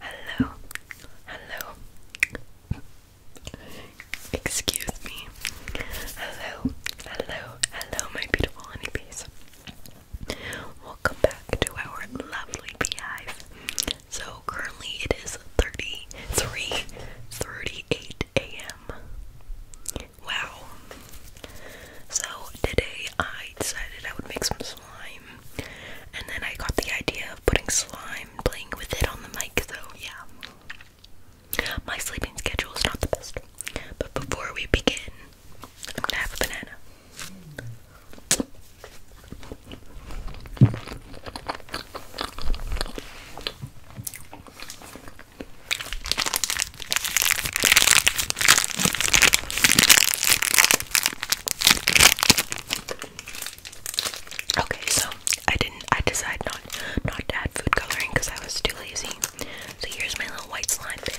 Hello, hello. Excuse me. Hello, hello, hello, my beautiful honeybees. Welcome back to our lovely beehive. So currently it is 33, a.m. Wow. So today I decided I would make some slime. And then I got the idea of putting slime, playing with it on the mic, so yeah. My sleeping schedule is not the best. But before we begin, I'm gonna have a banana. Okay, so I didn't I decided not not to add food coloring because I was too lazy. So here's my little white slime pick.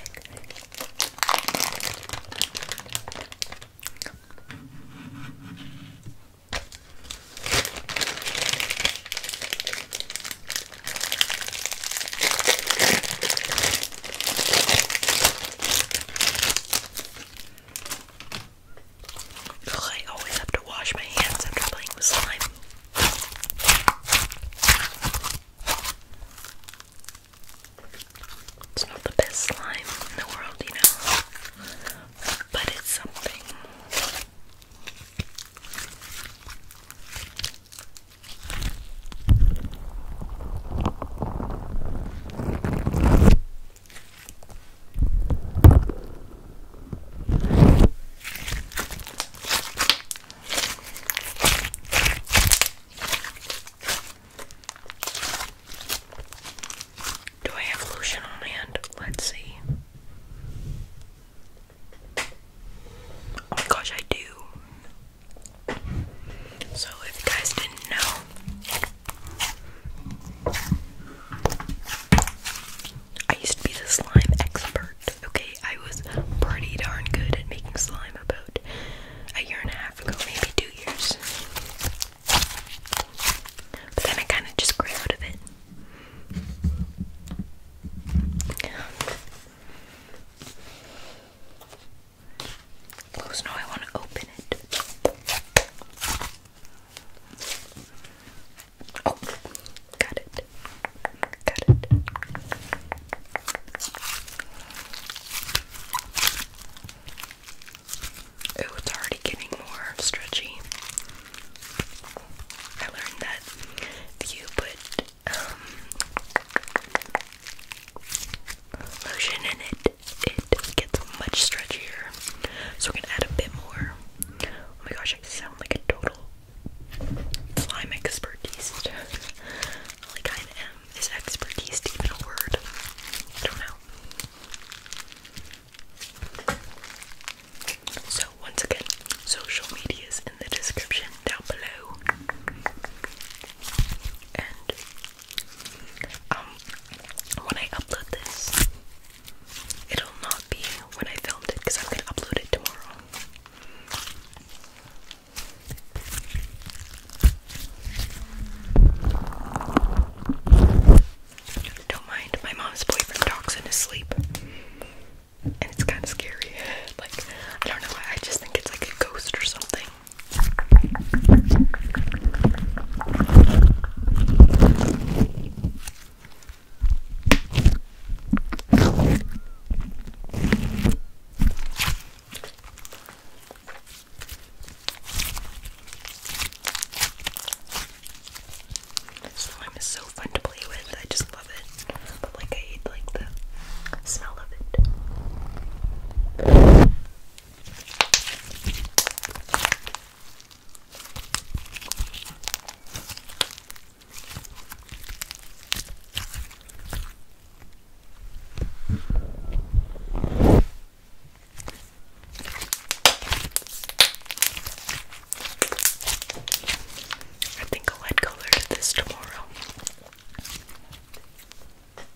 I always have to wash my hands after playing with slime. It's not the best slime in the world, you know, but it's something. Do I have lotion on hand? Let's see. Oh my gosh, I do. So, if you guys didn't know, I used to be the slime expert. Okay, I was pretty darn good at making slime about a year and a half ago, maybe two years. But then I kind of just grew out of it. Close. No, I want to open it. Oh, got it. Got it. Oh, it's already getting more stretchy. I learned that if you put um, lotion and it, it gets much stretchier. So we're gonna add a bit more. Oh my gosh, I sound like a total slime expertise. I kind of am. Is expertise even a word? I don't know. So once again, social medias in the description down below. And um when I upload this, it'll not be when I filmed it because I'm gonna upload it tomorrow. Don't mind, my mom's boyfriend talks in his sleep. And it's kind of scary. Like, I don't know, why, I just think it's like a ghost or something. Slime is so fun to play with. I just love it. But like I smell of it. I think I'll add color to this tomorrow.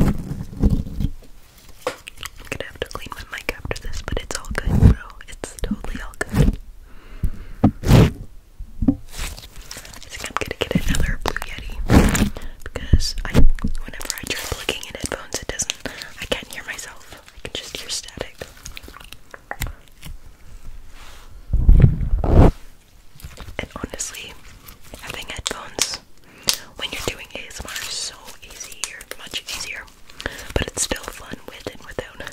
I'm gonna have to clean my mic after this, but it's all good, bro. It's totally all good. I think I'm gonna get another Blue Yeti because whenever I try plugging in headphones, it doesn't. I can't hear myself. I can just hear static. And honestly, having headphones when you're doing ASMR is so easier, much easier, but it's still fun with and without.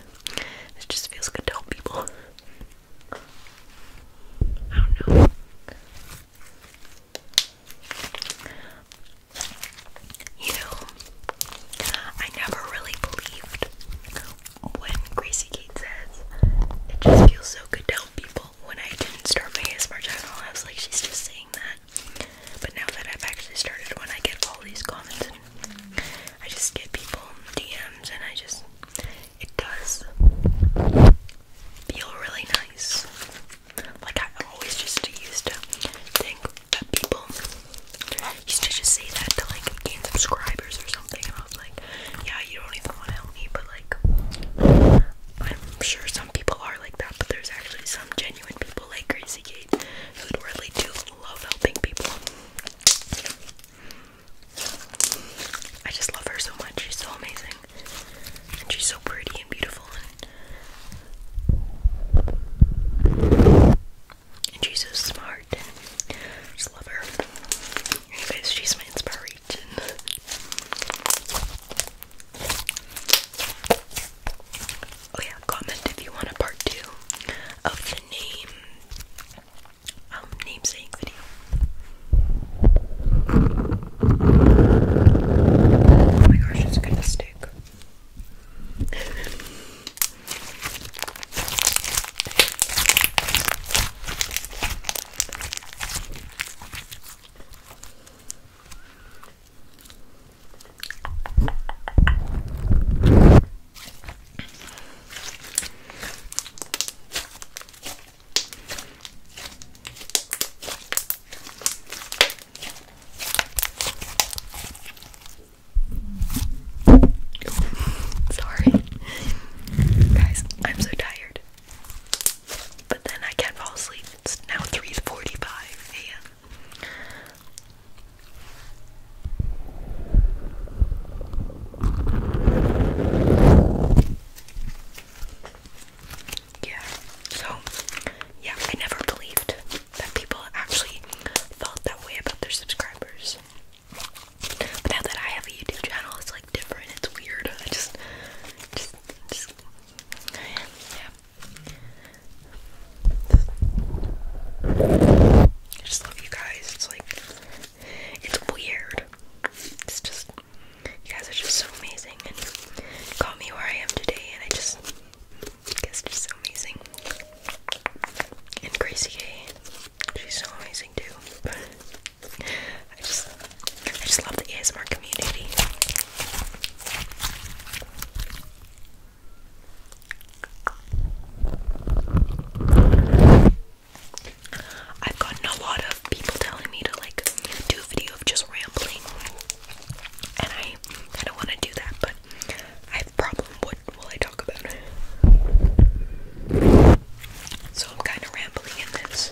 It just feels good to help people. I don't know. You know, I never really believed when Gracie Kate says, it just feels so good to help people when I didn't start my ASMR channel, I was like, she's just saying that. But now that I've actually started one, I get all these comments and I just get people DMs and I just, it does feel really nice. Like I always just used to think that people used to just say that to like gain subscribers or something and I was like, yeah, you don't even want to help me, but like I'm sure some people are like that, but there's actually some genuine people like Gracie Kate who really do love helping people. I just love her so much. She's so amazing. And she's so pretty and beautiful and she's so smart and just love her. Anyways, she's my inspiration region. Oh yeah, comment if you want a part two of the name um namesake video. Oh my gosh, it's gonna stick. Sorry, guys, I'm so tired. But then I can't fall asleep. It's now 3:45 a.m. Yeah, so, yeah, I never believed that people actually felt that way about their subscribers. But now that I have a YouTube channel, it's like different, it's weird. I just, just, just I just love you guys. It's like, it's weird. It's just, you guys are just so amazing and got me where I am today, and I just, you just amazing. And Gracie K, she's so amazing too. I just, I just love the ASMR community. I've gotten a lot of people telling me to like do a video of just rambling, and I I don't want to do that, but I have a What will I talk about? So I'm kind of rambling in this.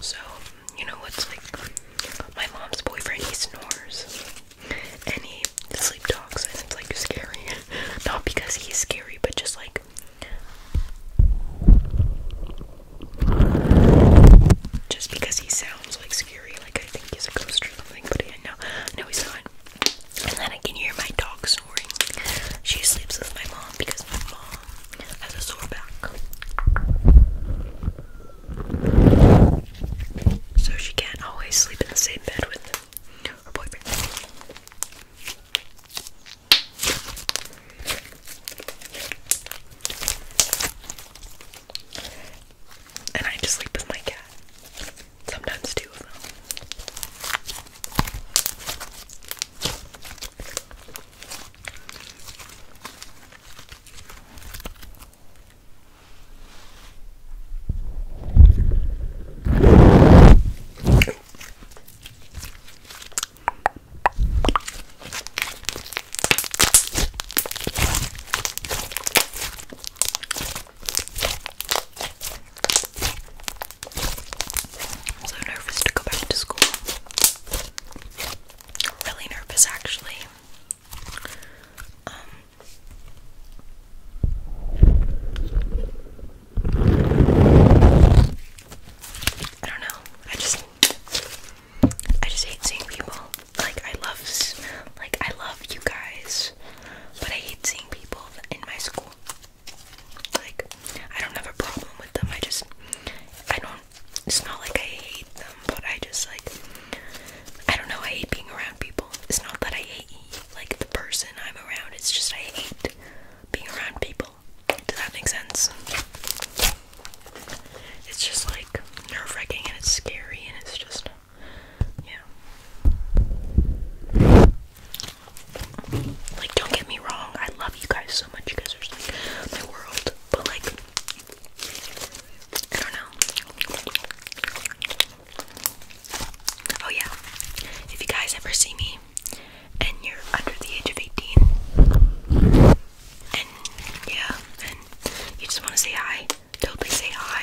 So, you know what's like my mom's boyfriend, he snores any sleep talks and it's like scary. Not because he's scary, but just like just because he sounds like scary, like I think he's a ghost or something, but yeah, no, no he's not. And then I can hear my dog snoring. She sleeps with my mom because my mom has a sore back so she can't always sleep in the same bed with her boyfriend. And I just sleep with my cat. Sometimes two I'm so nervous to go back to school. Really nervous, actually. I don't know. I just, I just hate seeing people. Like I love, like I love you guys, but I hate seeing people in my school. Like I don't have a problem with them. I just, I don't. It's not like I hate them, but I just like, I don't know. I hate being around people. It's not that I like the person I'm around. It's just I hate being around people. Does that make sense? It's just like nerve wracking and it's scary and it's just yeah. Like don't get me wrong, I love you guys so much. You guys are like my world, but like I don't know. Oh, yeah. If you guys ever see me and you're under the age of 18, and yeah, and you just want to say hi, totally say hi.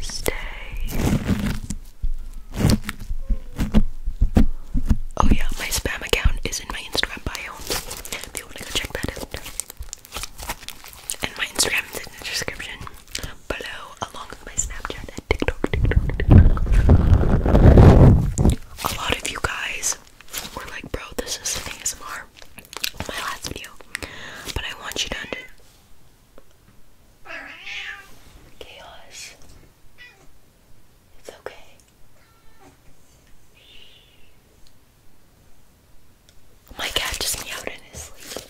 Stay. Oh yeah, my spam account is in my Instagram bio. If you want to go check that And my Instagram is in the description below, along with my Snapchat and TikTok, A lot of you guys were like, bro, this is ASMR. My last video, but I want you to Chaos. It's okay. My cat just meowed in his sleep.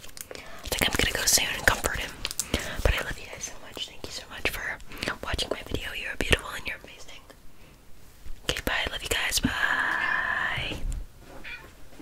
I think I'm gonna go soon and comfort him. But I love you guys so much. Thank you so much for watching my video. You're beautiful and you're amazing. Okay, bye. Love you guys. Bye.